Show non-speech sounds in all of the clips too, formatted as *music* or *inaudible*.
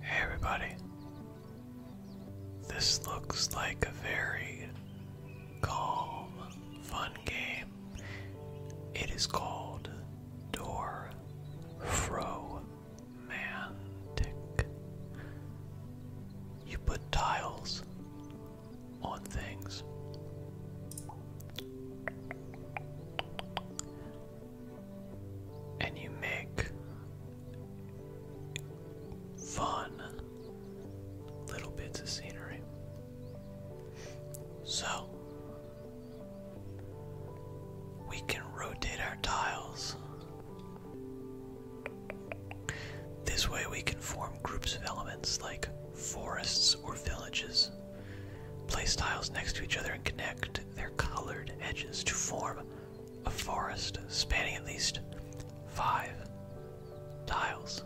Hey everybody. This looks like a very calm, fun game. It is called Door Fro Mantic. You put tiles on things and you make fun little bits of scenery. So, we can rotate our tiles. This way, we can form groups of elements like forests or villages. Place tiles next to each other and connect their colored edges to form a forest spanning at least five tiles.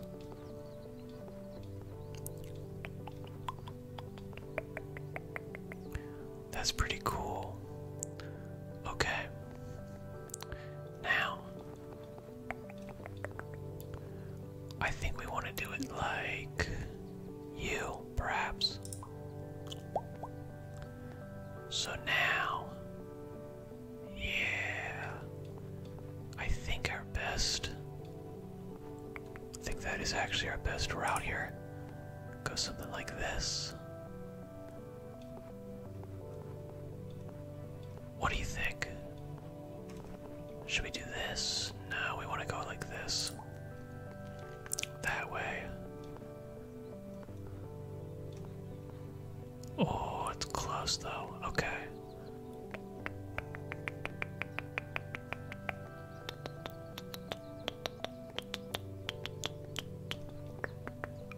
That's pretty cool. Okay. Now, I think we want to do it like you, perhaps. So now, yeah, I think our best, I think that is actually our best route here. Go something like this. What do you think? Should we do this? No, we want to go like this. That way. Oh, it's close though. Okay.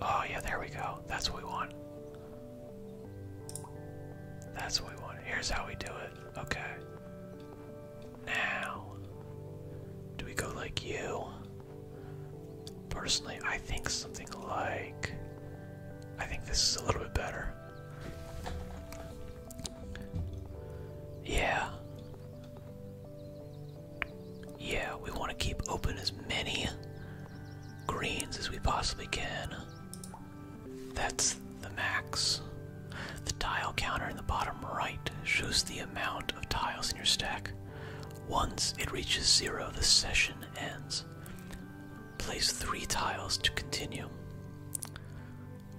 Oh, yeah, there we go. That's what we want. That's what we want. Here's how we do it. Okay. Now, do we go like you? Personally, I think something like. I think this is a little bit better. Yeah. Yeah, we want to keep open as many greens as we possibly can. That's the max. The tile counter in the bottom right shows the amount of tiles in your stack. Once it reaches zero, the session ends. Place three tiles to continue.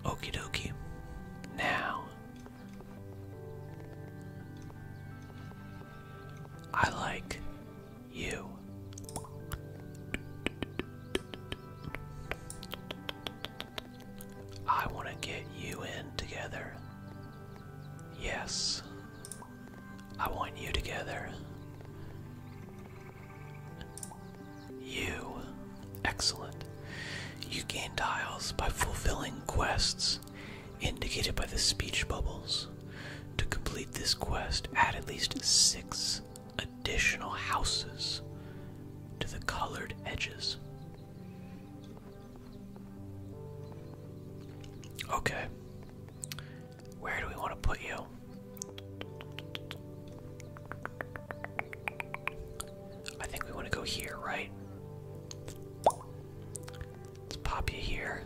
Okie dokie. Now, I like you. I want to get you in together. Yes. I want you together. You. Excellent. You gain tiles by fulfilling quests indicated by the speech bubbles. To complete this quest, add at least six additional houses to the colored edges. Okay. Where do we want to put you? I think we want to go here, right? Let's pop you here.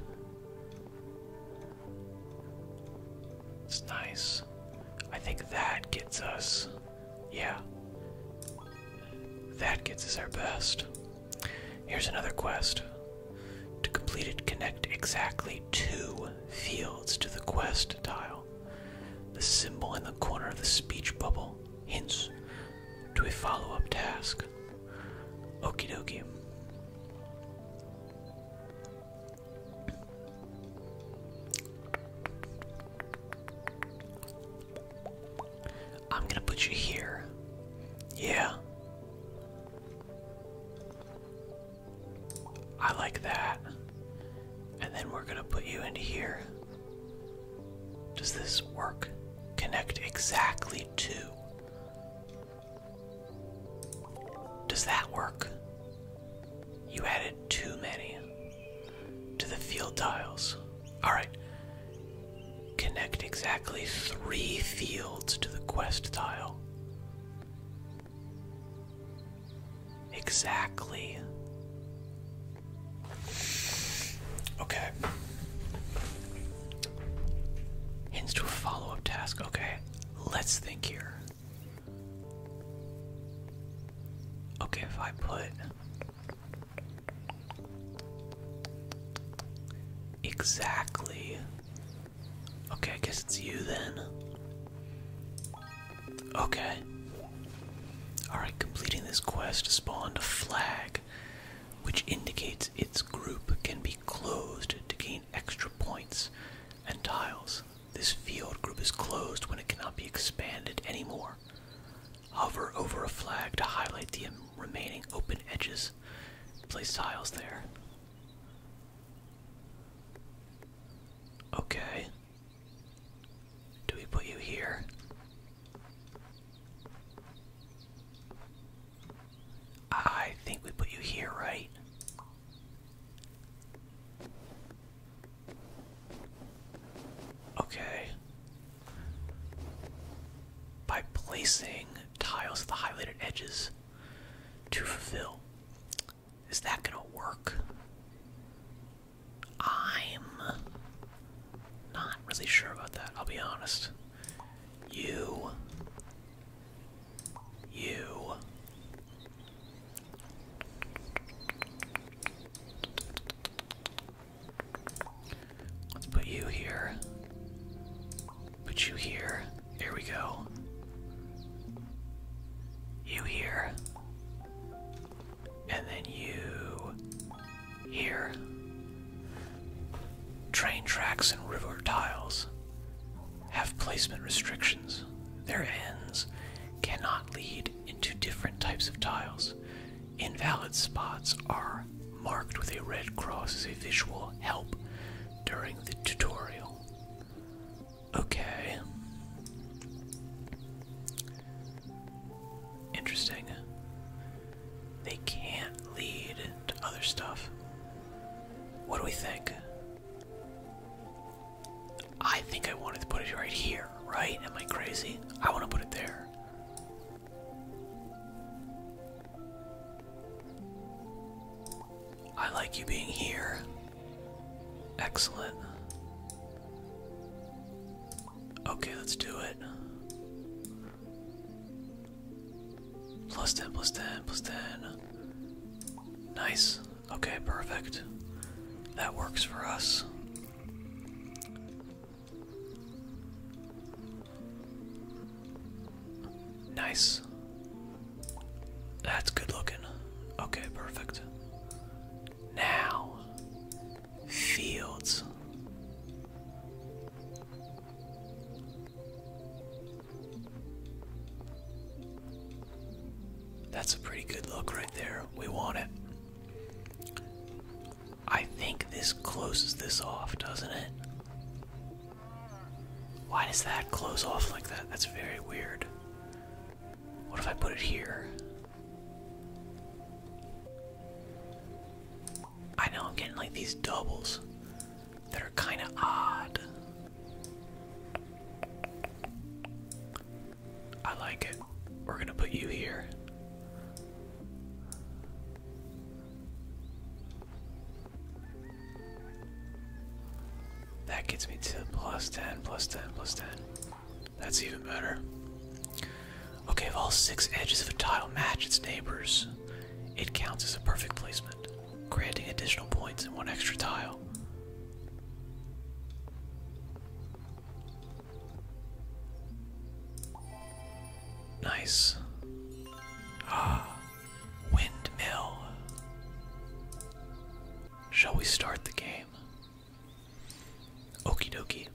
It's nice. I think that gets us. Yeah. That gets us our best. Here's another quest. To complete it, connect exactly two fields to the quest tile. The symbol in the corner of the speech bubble hints to a follow up task. Okie dokie. I'm going to put you here. Yeah. I like that. And then we're going to put you into here. Does this work? Connect exactly to. Does that work? You added too many to the field dials. Alright. Connect exactly three fields to the quest tile. Exactly. Okay. Hints to a follow up task. Okay, let's think here. Okay, if I put. Exactly. Okay, I guess it's you then. Okay. Alright, completing this quest spawned a flag, which indicates its group can be closed to gain extra points and tiles. This field group is closed when it cannot be expanded anymore. Hover over a flag to highlight the remaining open edges. Place tiles there. Okay. Do we put you here? I think we put you here, right? Okay by placing tiles at the highlighted edges to fulfill. Is that gonna work? I'm not really sure about that, I'll be honest. You. You. Let's put you here. Put you here. There we go. You here. And then you here. Train tracks and river tiles have placement restrictions. Their ends cannot lead into different types of tiles. Invalid spots are marked with a red cross as a visual help during the tutorial. Okay. Interesting. They can't lead to other stuff. What do we think? I think I wanted to put it right here, right? Am I crazy? I want to put it there. I like you being here. Excellent. Okay, let's do it. Plus 10, plus 10, plus 10. Nice. Okay, perfect. That works for us. Nice. That's good looking. Okay, perfect. Now, fields. That's a pretty good look right there. We want it. I think this closes this off, doesn't it? Why does that close off like that? That's very weird. What if I put it here? I know I'm getting like these doubles that are kind of odd. I like it. We're gonna put you here. That gets me to plus 10, plus 10, plus 10. That's even better. Okay, if all six edges of a tile match its neighbors, it counts as a perfect placement, granting additional points and one extra tile. Nice. Ah, windmill. Shall we start the game? Okie dokie.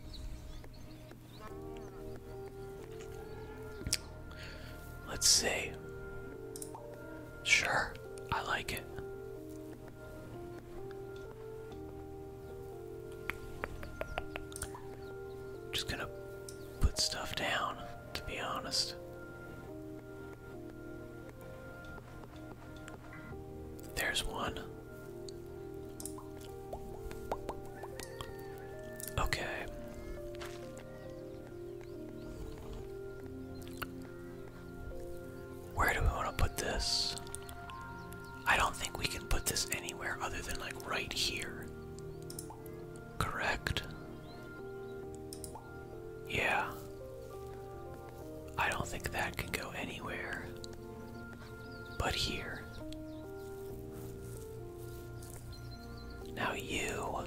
Let's see. Sure, I like it. Just gonna put stuff down, to be honest. There's one. Okay. Where do we want to put this? I don't think we can put this anywhere other than like right here correct? Yeah. I don't think that can go anywhere but here. Now you.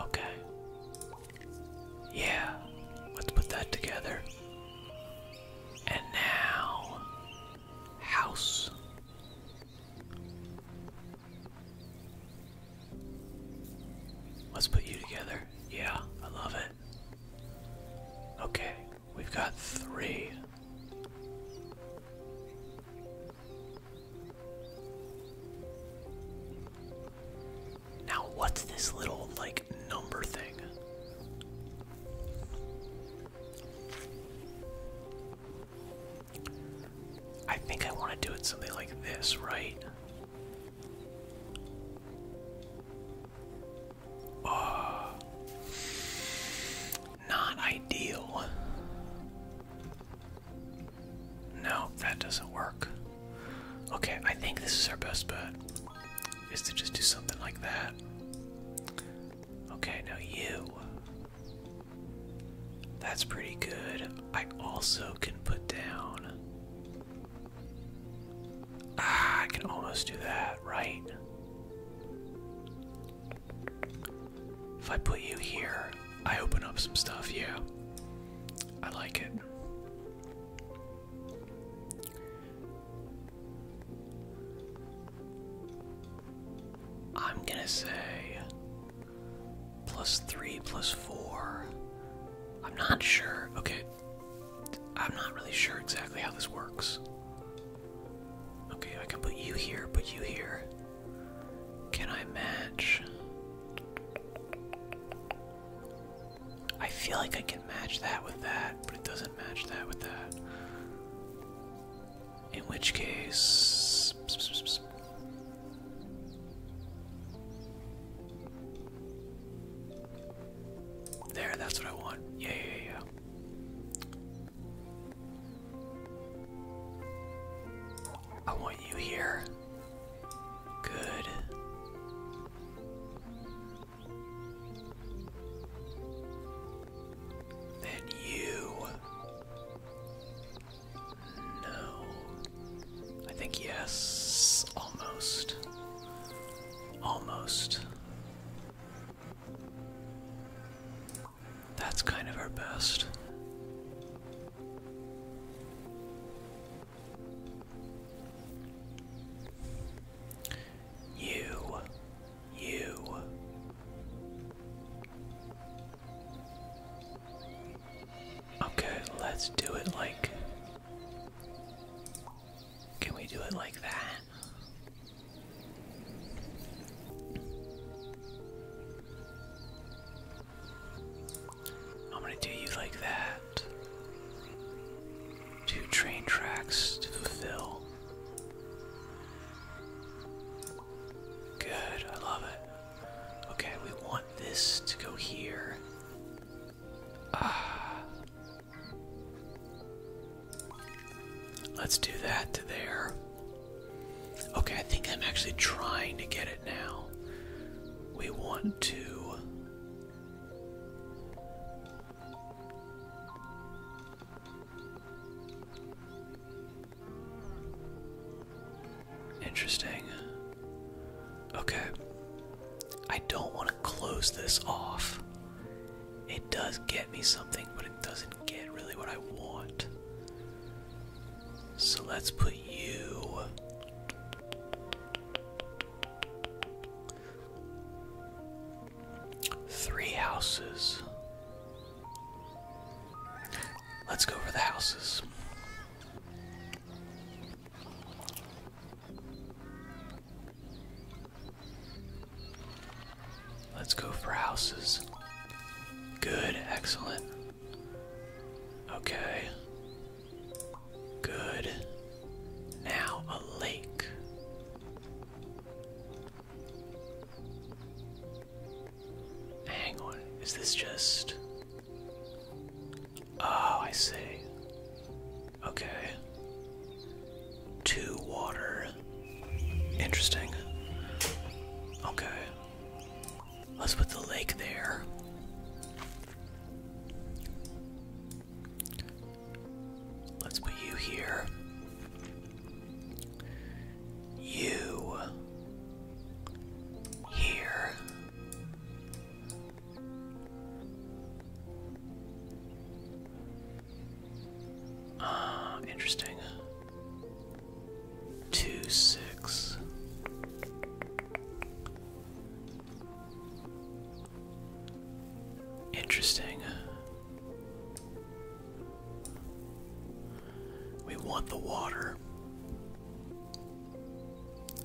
Okay. Yeah, let's put that together. And now house. Let's put you together. Yeah, I love it. Okay, we've got three. Now, what's this little, like, number thing? I think I want to do it something like this, right? Uh, not ideal. No, that doesn't work. Okay, I think this is our best bet. Is to just do something like that. Okay, now you. That's pretty good. I also can put down. Ah, I can almost do that, right? If I put you here, I open up some stuff, yeah. I like it. I'm gonna say plus three, plus four. I'm not sure. Okay. I'm not really sure exactly how this works. Okay, I can put you here, put you here. Can I match? I feel like I can match that with that, but it doesn't match that with that. In which case. There, that's what I want. Yeah, yeah, yeah. I want you here. Good. Then you. No. I think yes. Almost. Almost. That's kind of our best. You you. Okay, let's do it like. Can we do it like that? I'm gonna do you like that. Two train tracks to fulfill. Good, I love it. Okay, we want this to go here. Ah. Let's do that to there. Okay, I think I'm actually trying to get it now. We want to. Interesting. Okay. I don't want to close this off. It does get me something, but it doesn't get really what I want. So let's put you. Three houses. Let's go over the houses. Let's go for houses. Good, excellent. Okay. Good. Now a lake. Hang on, is this just. Oh, I see. Okay. Two water. Interesting. Okay. Let's put the lake there. Let's put you here you here. Ah, interesting. Two six. Interesting. We want the water.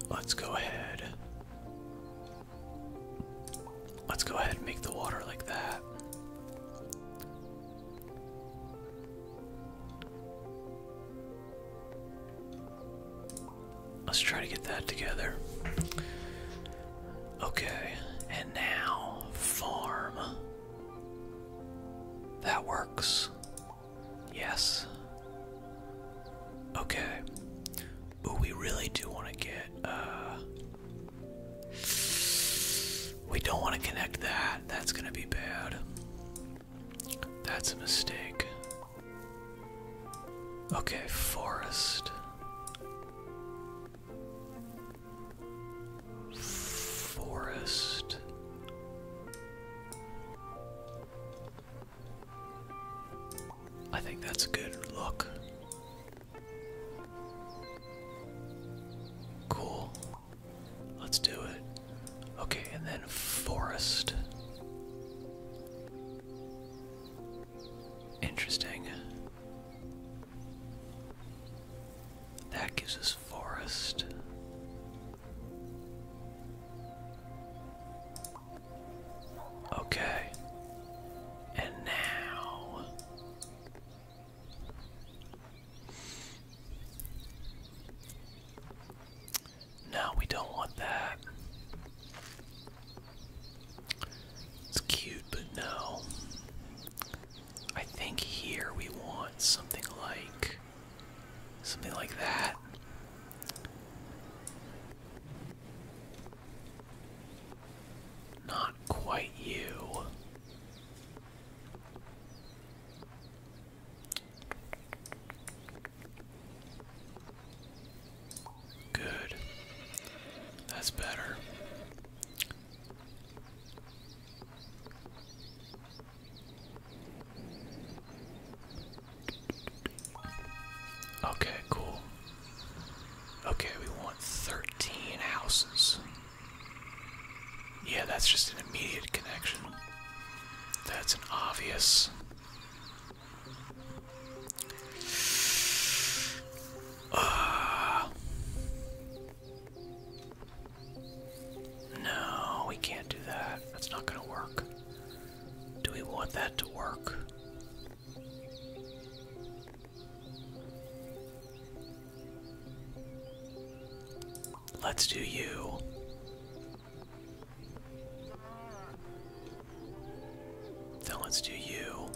Let's go ahead. Let's go ahead and make the water like that. Let's try to get that together. Okay, and now farm. That works. Yes. Okay. But we really do want to get, uh. We don't want to connect that. That's going to be bad. That's a mistake. Okay, forest. Forest. I think that's a good look. Cool. Let's do it. Okay, and then forest. Interesting. That gives us forest. Okay. And now No, we don't want that. It's cute, but no. I think here we want something like something like that. Not quite you. Good. That's better. Okay, cool. Okay, we want 13 houses. Yeah, that's just an immediate connection. That's an obvious. Uh, no, we can't do that. That's not going to work. Do we want that to work? Let's do you. Then let's do you.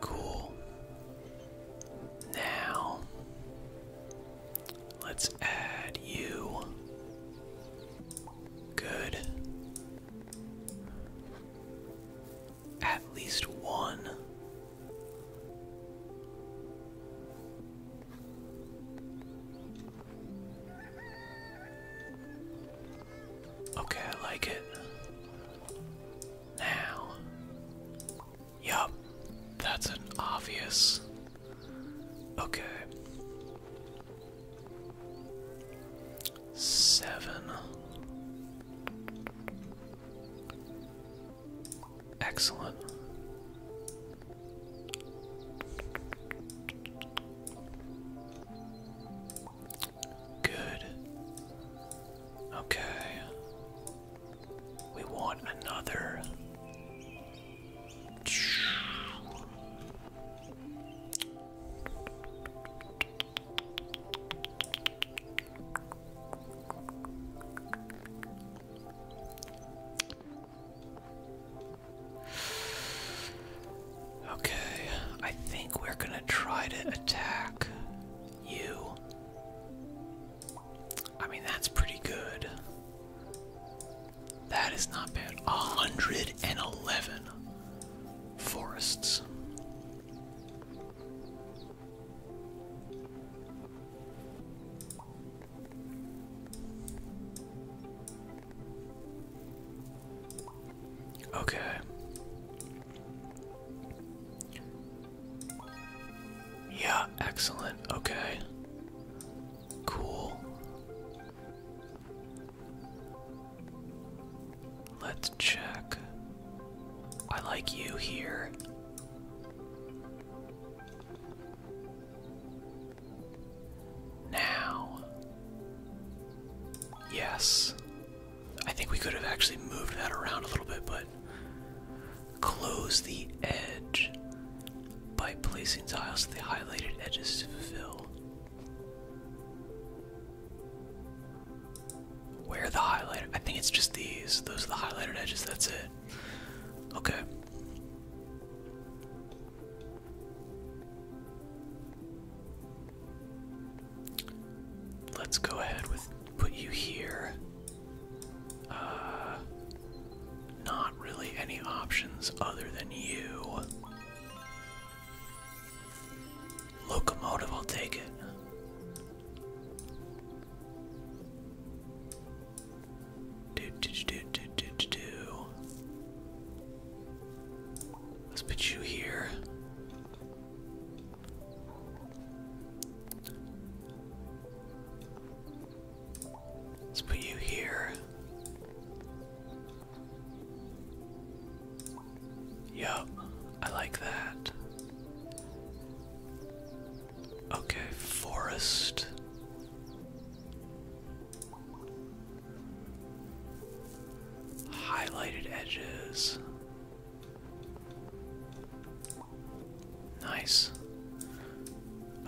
Cool. Now, let's add you. Good. At least one. Okay, I like it. Now, Yup, that's an obvious. Okay. Seven. Excellent. Good. Okay. We want another. Okay, I think we're going to try to attack you I mean, that's pretty good. That is not bad. 111 forests. Okay. Yeah, excellent. Okay. Cool. Let's check. I like you here. Now. Yes. I think we could have actually moved that around a little bit, but Close the edge by placing tiles to the highlighted edges to fill. Where are the highlighter? I think it's just these. Those are the highlighted edges, that's it. Okay. Let's go ahead with put you here. Uh, not really any options other than you. Locomotive, I'll take it. Do, do, do, do, do, do, Let's put you here. Let's put you here. Yup, I like that. Okay, forest. Highlighted edges. Nice.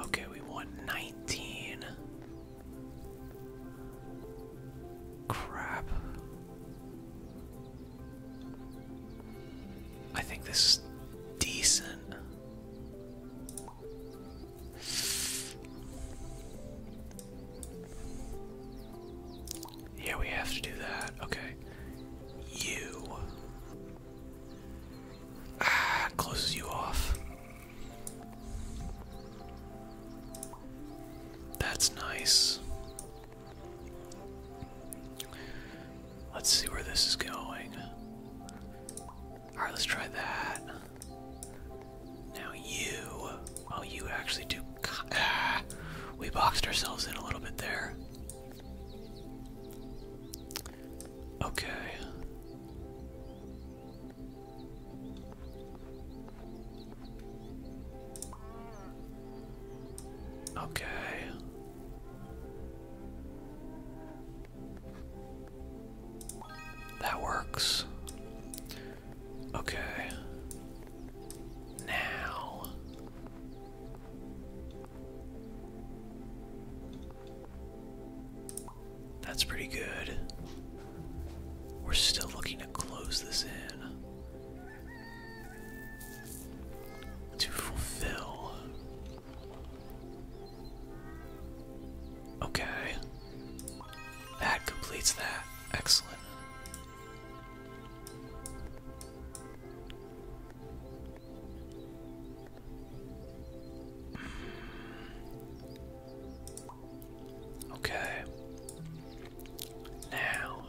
Okay, we want 19. Crap. I think this is decent. Yeah, we have to do that. Okay. You. Ah, *sighs* closes you off. That's nice. Let's see where this is going. Alright, let's try that. Now you. oh, you actually do. Ah, *sighs* we boxed ourselves in a little bit there. Okay. Okay. That works. Okay. Now that's pretty good. We're still looking to close this in. To fulfill. Okay. That completes that. Excellent. Okay. Now.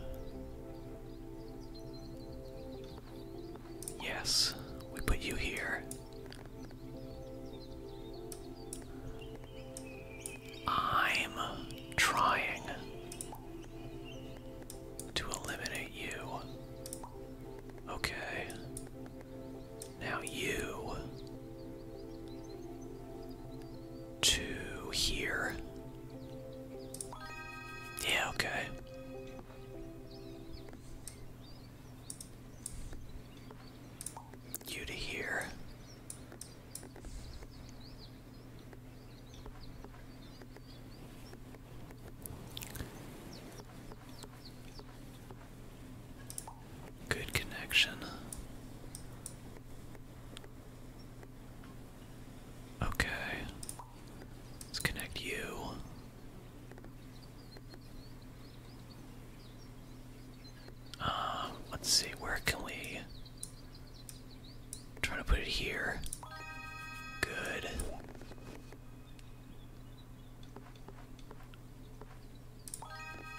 Yes, we put you here. I'm trying to eliminate you. Okay. Now you to here. Yeah, okay. You to here. Good connection. Okay. Let's connect you. Um, let's see, where can we trying to put it here? Good.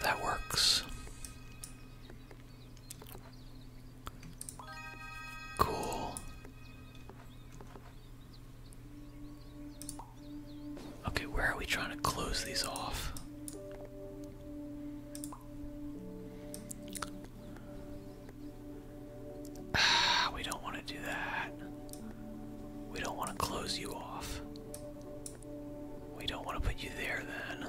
That works. Cool. Okay, where are we trying to close these off? *sighs* we don't want to do that. We don't want to close you off. We don't want to put you there then.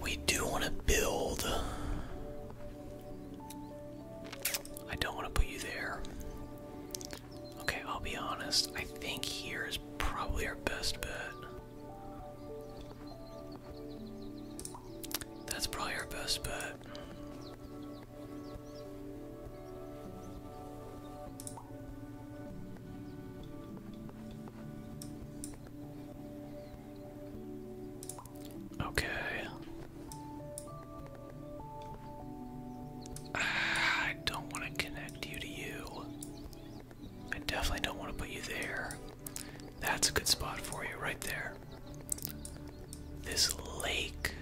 We do want to build. I don't want to put you there. Okay, I'll be honest. I think here is probably our best bet. That's probably our best bet. Okay. Ah, I don't want to connect you to you. I definitely don't want to put you there. That's a good spot for you right there. This lake.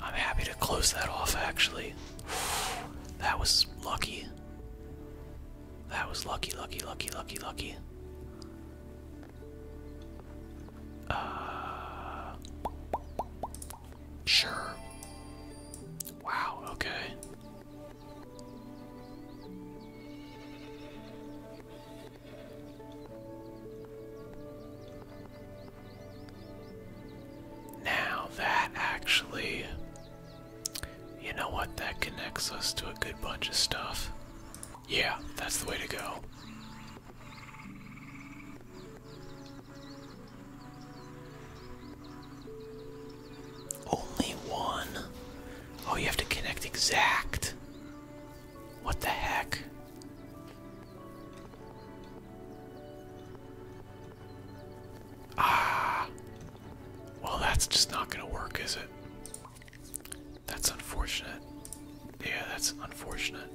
I'm happy to close that off actually. *sighs* That was lucky. That was lucky, lucky, lucky, lucky, lucky. Uh, sure. Wow, okay. Now that actually, you know what, that connects us to a good bunch of stuff. Yeah, that's the way to go. Only one. Oh, you have to connect exact. What the heck? Ah. Well, that's just not going to work, is it? That's unfortunate. Yeah, that's unfortunate.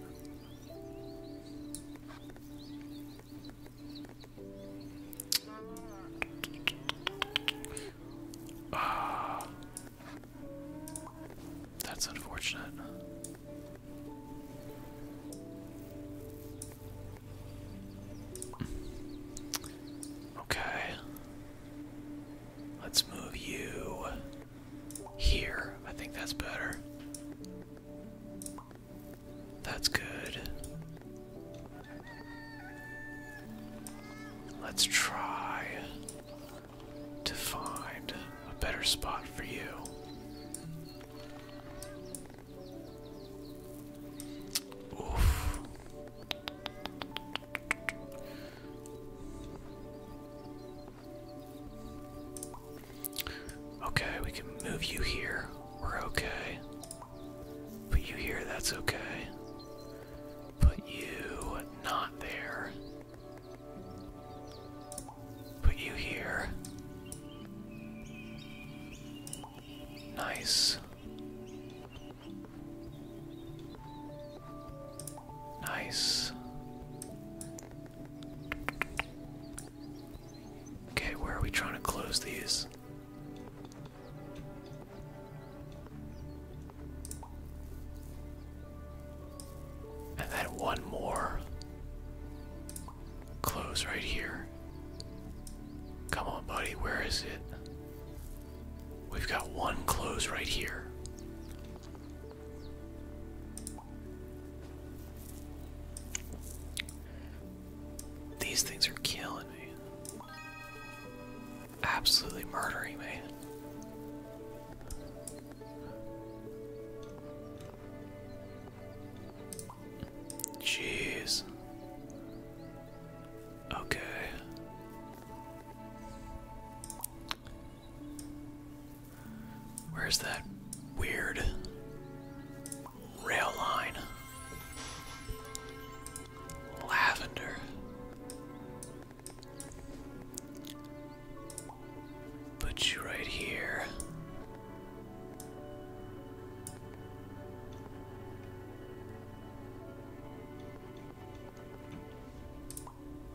Ah. that's unfortunate. Okay, let's move you here. I think that's better. That's good. Let's try to find a better spot for you. Oof. Okay, we can move you here. We're okay. Put you here, that's okay. Put you not there. Put you here. Nice. Nice. Okay, where are we trying to close these? And then one more close right here. Come on, buddy, where is it? We've got one close right here. These things are killing me absolutely murdering me. Jeez. Okay. Where's that weird rail line? lavender. Put you right here.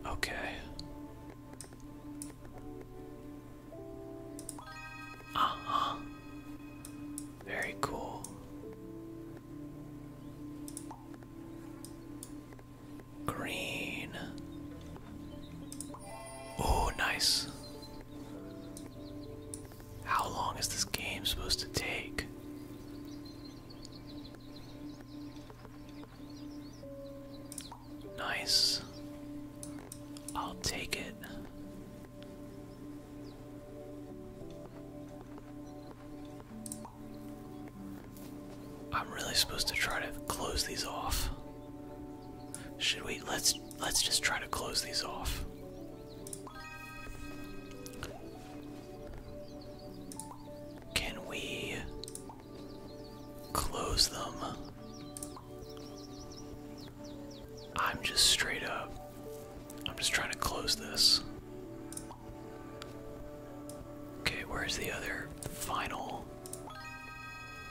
Okay. Uh-huh. Very cool. Green. Oh, nice. How long is this game supposed to take? Nice. I'll take it. I'm really supposed to try to close these off. Should we? Let's let's just try to close these off. Can we close them I'm just straight up. I'm just trying to close this. Okay, where's the other final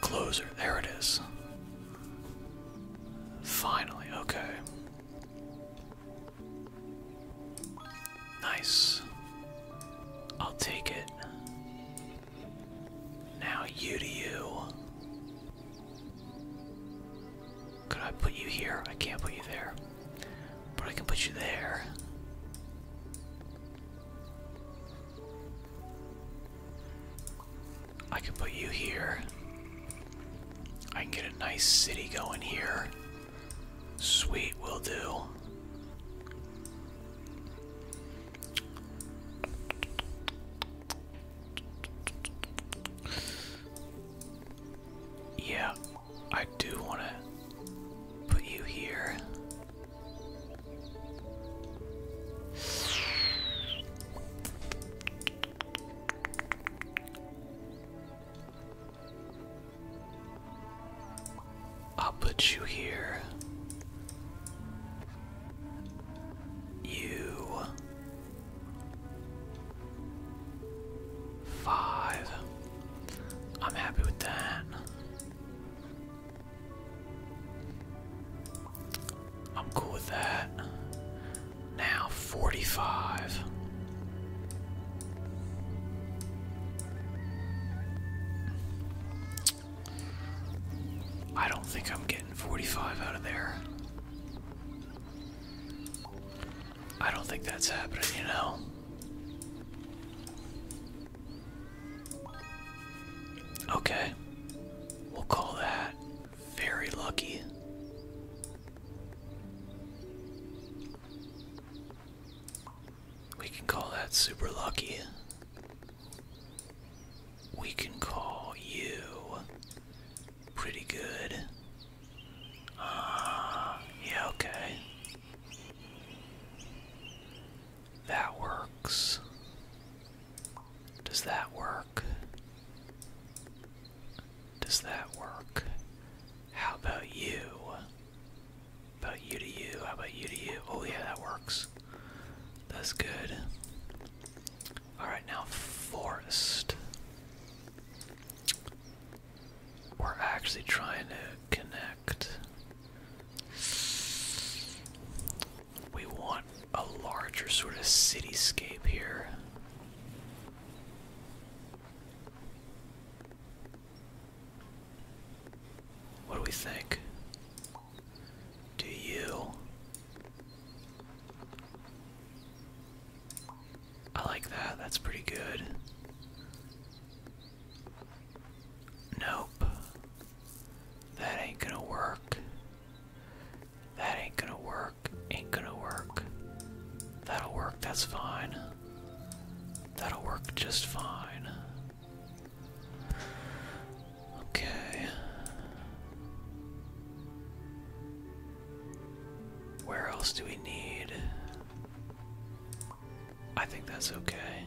closer? There it is. Finally, okay. Nice. I'll take it. Now, you to you. Could I put you here? I can't put you there. But I can put you there. I can put you here. I can get a nice city going here. Sweet, will do. Yeah, I do want to put you here. I'll put you here. You Five. I'm happy with that. I'm cool with that. Now 45. I don't think I'm getting 45 out of there. I don't think that's happening, you know. Okay. We'll call that very lucky. We can call that super lucky. We can call you pretty good. Ah, *sighs* yeah, okay. That works. Does that work? Does that work? How about you? About you to you, how about you to you? Oh yeah, that works. That's good. Alright, now forest. We're actually trying to connect. We want a larger sort of cityscape here. What do we think? Do you? I like that. That's pretty good. Nope. That ain't gonna work. That ain't gonna work. Ain't gonna work. That'll work. That's fine. That'll work just fine. Okay. Where else do we need? I think that's okay.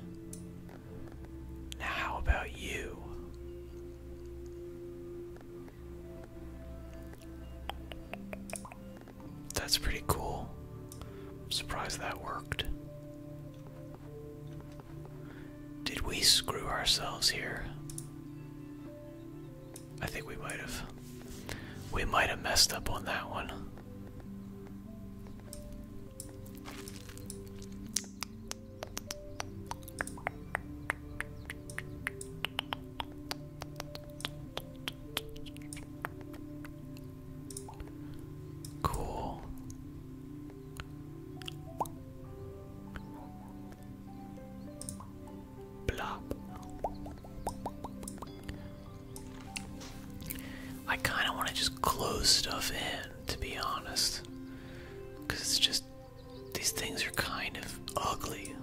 Now, how about you? That's pretty cool. surprised that worked. Did we screw ourselves here? I think we might have. We might have messed up on that one. Cool. I kind of want to just close stuff in, to be honest. Because it's just. These things are kind of ugly.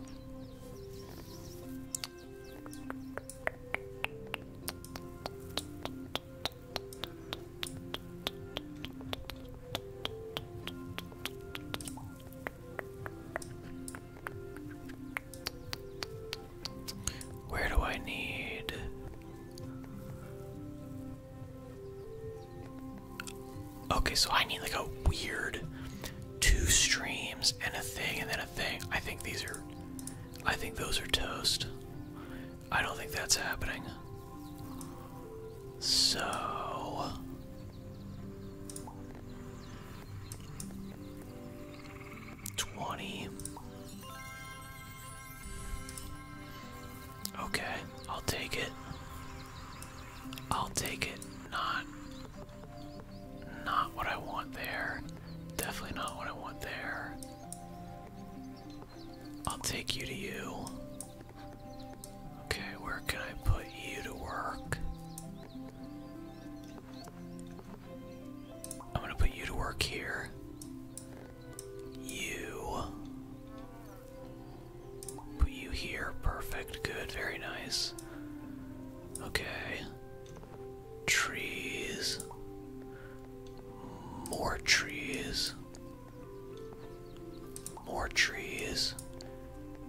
Where do I need? Okay, so I need like a weird two streams and a thing and then a thing. I think these are. I think those are toast. I don't think that's happening. So. Twenty. Okay, I'll take it. I'll take it. Not not what I want there. Definitely not what I want there. I'll take you to you. Okay, where can I put you to work? I'm gonna put you to work here. You. Put you here. Perfect. Good. Very nice. Okay. Trees. More trees. More trees.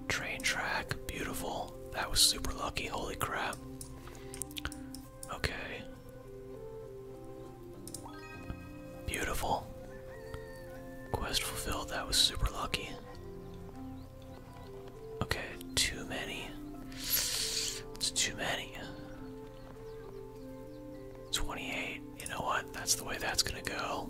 Train track, beautiful. That was super lucky, holy crap. Okay. Beautiful. Quest fulfilled, that was super lucky. Okay, too many. It's too many. 28. You know what? That's the way that's gonna go.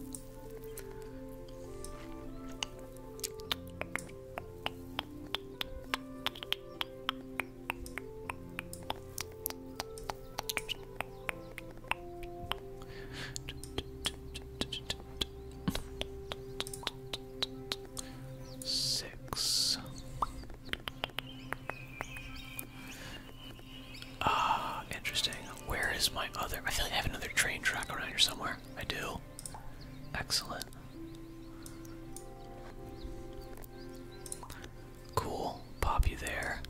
Six. Ah, interesting. Where is my other? I feel like I have another train track around here somewhere. I do. Excellent. Cool. Pop you there.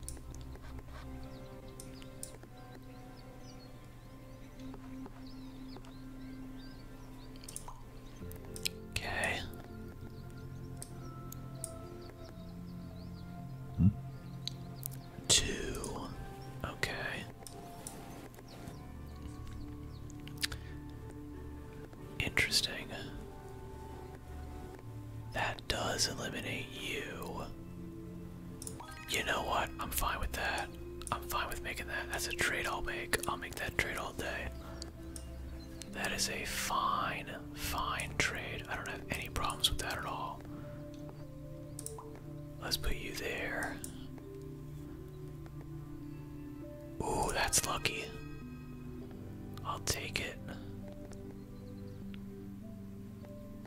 Okay. Hmm? Two. Okay. Interesting. That does eliminate you. You know what? I'm fine with that. I'm fine with making that. That's a trade I'll make. I'll make that trade all day. That is a fine, fine trade. I don't have any problems with that at all. Let's put you there. Ooh, that's lucky. I'll take it.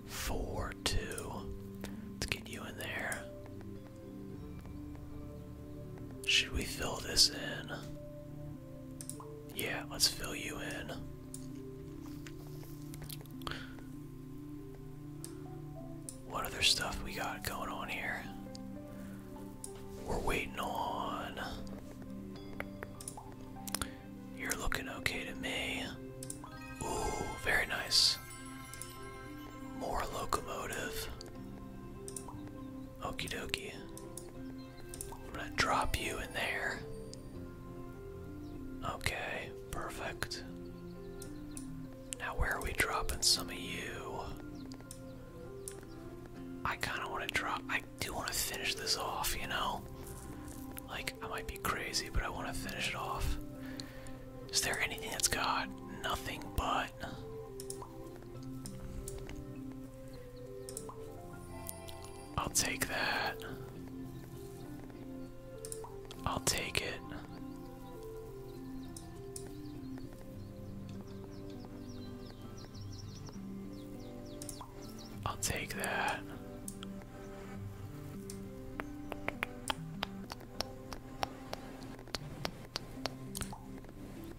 Four, two. Let's get you in there. Should we fill this in? Yeah, let's fill you in. What other stuff we got going on here? We're waiting on. You're looking okay to me. Ooh, very nice. More locomotive. Okie dokie. I'm gonna drop you in there. Okay, perfect. Now, where are we dropping some of you? I kind of want to drop. I do want to finish this off, you know? Like, I might be crazy, but I want to finish it off. Is there anything that's got nothing but. I'll take that. I'll take it. I'll take that.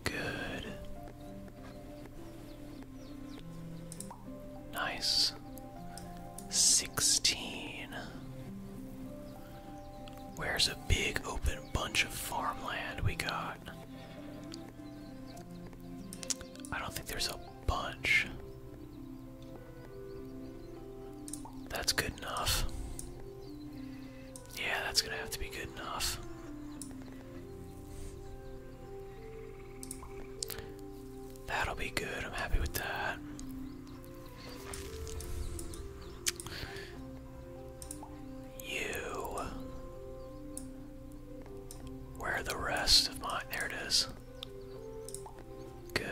Good. Nice. Sixteen. Where's a big open bunch of farmland we got? I don't think there's a bunch. That's good enough. Yeah, that's gonna have to be good enough. That'll be good. I'm happy with that. You. Where are the rest of my. There it is. Good.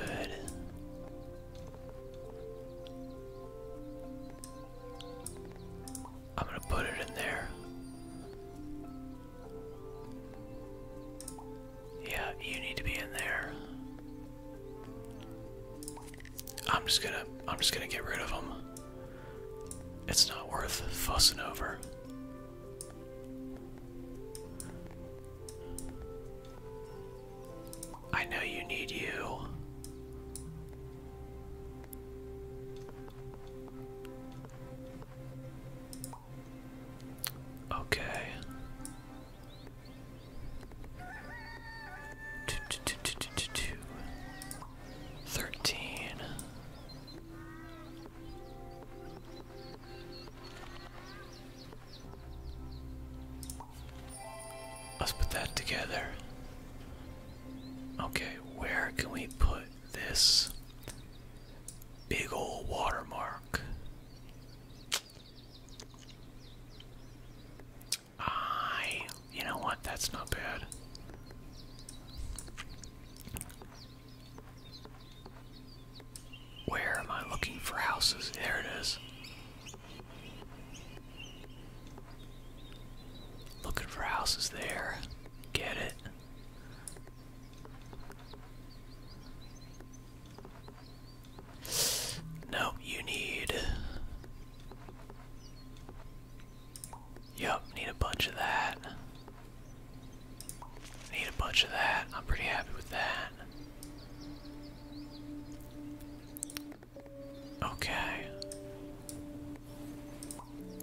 I'm going to put it in there. Yeah, you need to be in there. I'm just gonna I'm just gonna get rid of them. It's not worth fussing over. I know you need you. Okay. Thirteen. Let's put that together. Okay, where can we put this big old watermark? I, you know what, that's not bad. Where am I looking for houses? There it is. Looking for houses there. Get it. No, you need Yup, need a bunch of that. Need a bunch of that. I'm pretty happy with that. Okay.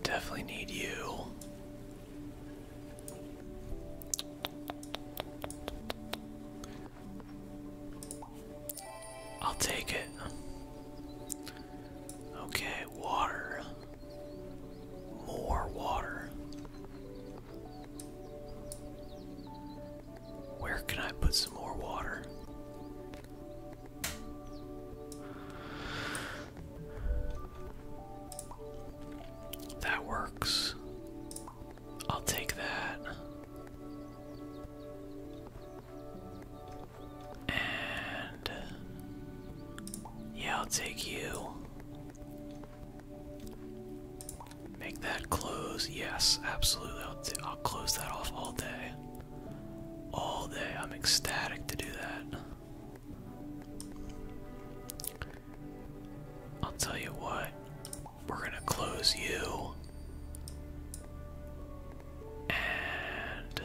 Definitely need you. I'll take it. Okay, water. More water. Where can I put some more water? That works. I'll take that. And uh, yeah, I'll take you. Make that close. Yes, absolutely. I'll, close that off all day. All day. I'm ecstatic to do that. I'll tell you what, we're gonna close you. And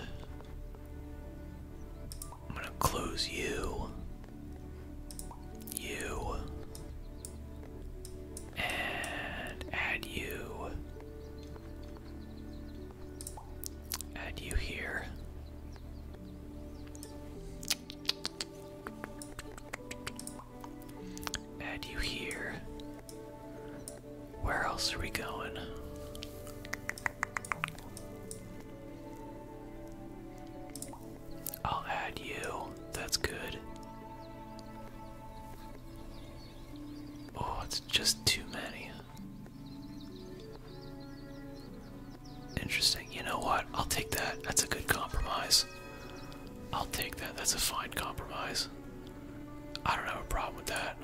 I'm gonna close you, you, and add you, add you here. Add you here. Where else are we going? I'll add you. That's good. Oh, it's just too many. Interesting. You know what? I'll take that. That's a good compromise. I'll take that. That's a fine compromise. I don't have a problem with that.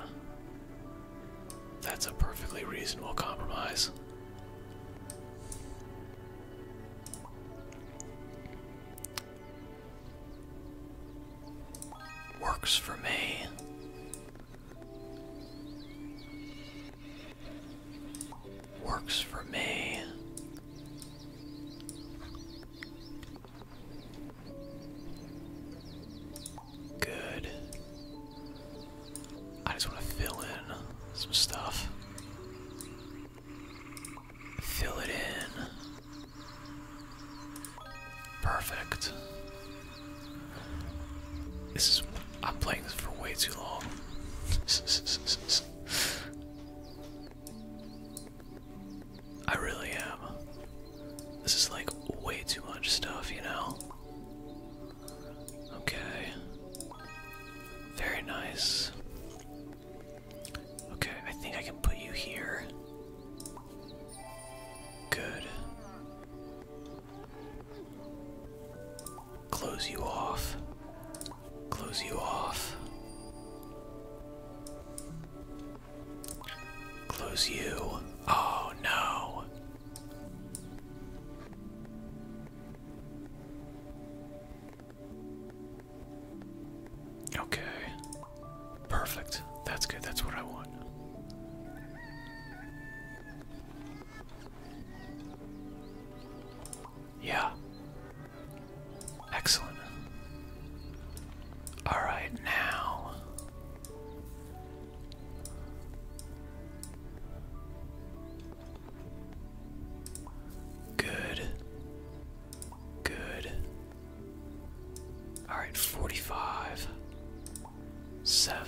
That's a perfectly reasonable compromise. Works for me. Works for me. Good. I just want to fill in some stuff. Fill it in. Perfect. This is. I'm playing this for way too long. *laughs* I really am. This is like way too much stuff, you know? Okay. Very nice. Okay, I think I can put you here. Good. Close you off. Close you off. Close you. Oh no. Okay. Perfect. That's good. That's what I want. Yeah. Excellent. All right, now. Good. Good. All right, 45. 7.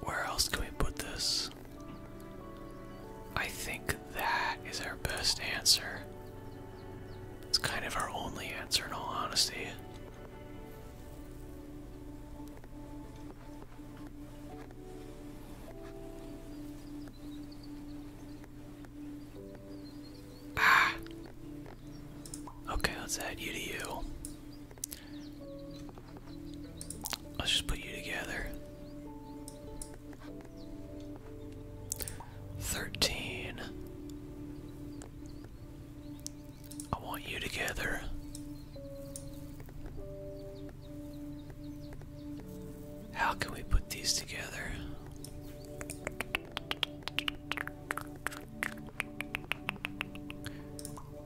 Where else can we put this? I think that is our best answer. It's kind of our only answer in all honesty. Ah. Okay, let you to you. Let's just put you together. 13. I want you together. How can we put these together?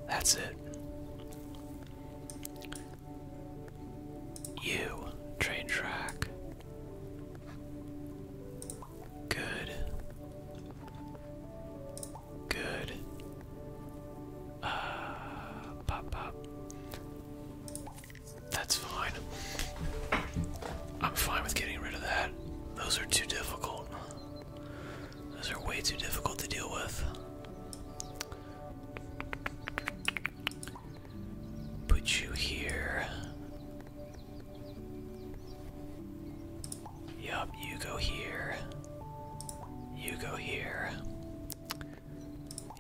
That's it. You, train track. Good. Good. Uh, pop, pop. That's fine. I'm fine with getting rid of that. Those are too difficult. Those are way too difficult to deal with. Put you here. Yup, you go here. You go here.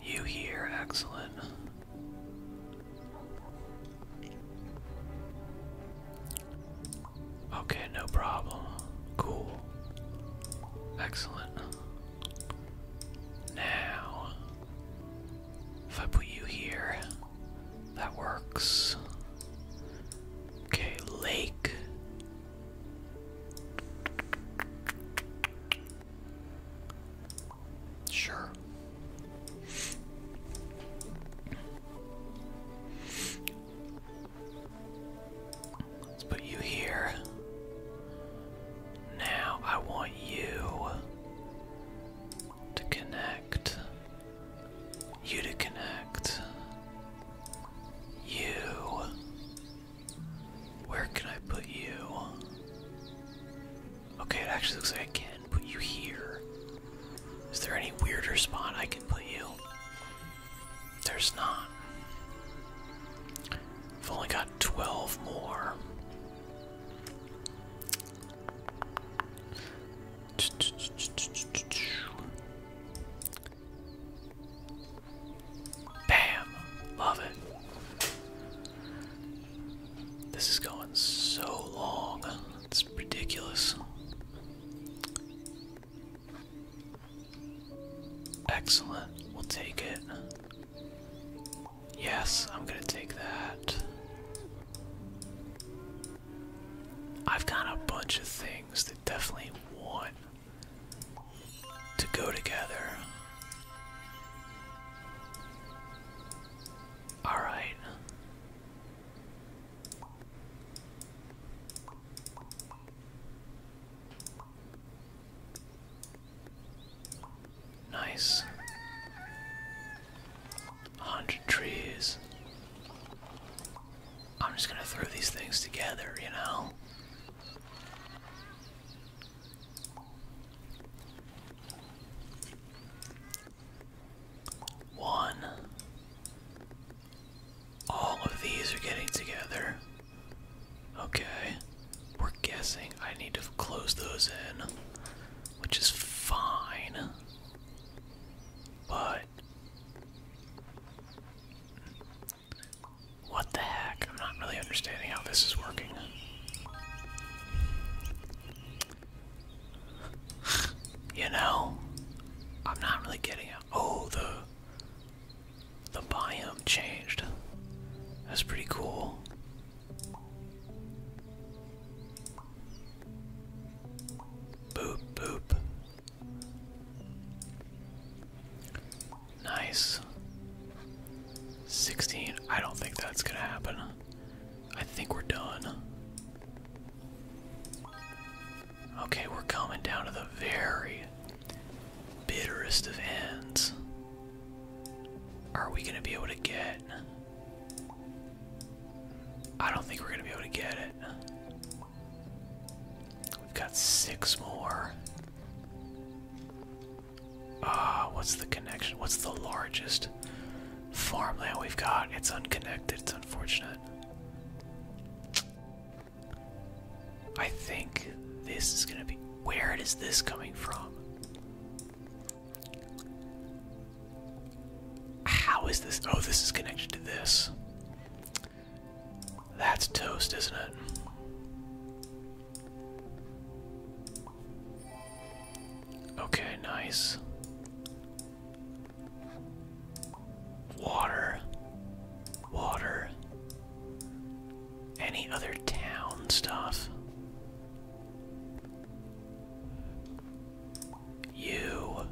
You here, excellent. Okay, no problem. Cool. Excellent. Now, if I put you here, that works. Okay, lake. Sure. Let's put you here. Now I want you to connect. You to connect. You. Where can I put you? Okay, it actually looks like I can put you here. Is there any weirder spot I can put you? There's not. I've only got 12 more. Bam! Love it. This is going so long. It's ridiculous. Excellent. We'll take it. Yes, I'm going to take that. I've got a bunch of things that definitely want to go together. All right. Nice. A hundred trees. I'm just gonna throw these things together, you know? One, all of these are getting together. Okay. We're guessing I need to close those in, which is fine. But. What the heck? I'm not really understanding how this is working. *sighs* you know? I'm not really getting it. Oh, the the biome changed. That's pretty cool. Boop, boop. Nice. 16. I don't think that's gonna happen. I think we're done. Okay, we're coming down to the very bitterest of ends. Are we gonna be able to get? I don't think we're gonna be able to get it. We've got six more. Ah, what's the connection? What's the largest farmland we've got? It's unconnected, it's unfortunate. I think this is gonna be. Where is this coming from? How is this? Oh, this is connected to this. That's toast, isn't it? Okay, nice. Water. Water. Any other town stuff? You.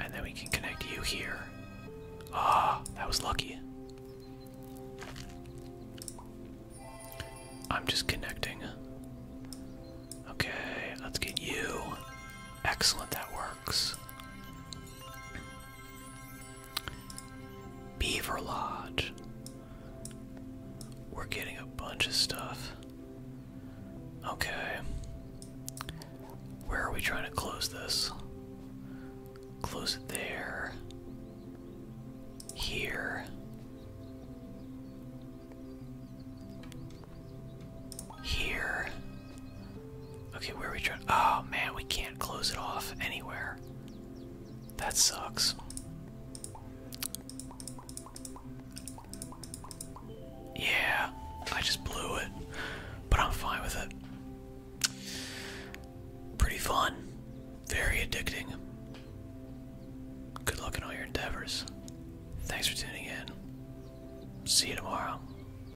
And then we can connect you here. Ah, that was lucky. I'm just connecting. Okay, let's get you. Excellent, that works. Beaver Lodge. We're getting a bunch of stuff. Okay. Where are we trying to close this? Close it there. Here. Here. Okay, where are we trying? Oh man, we can't close it off anywhere. That sucks. Yeah, I just blew it, but I'm fine with it. Pretty fun, very addicting. Good luck in all your endeavors. Thanks for tuning in. See you tomorrow.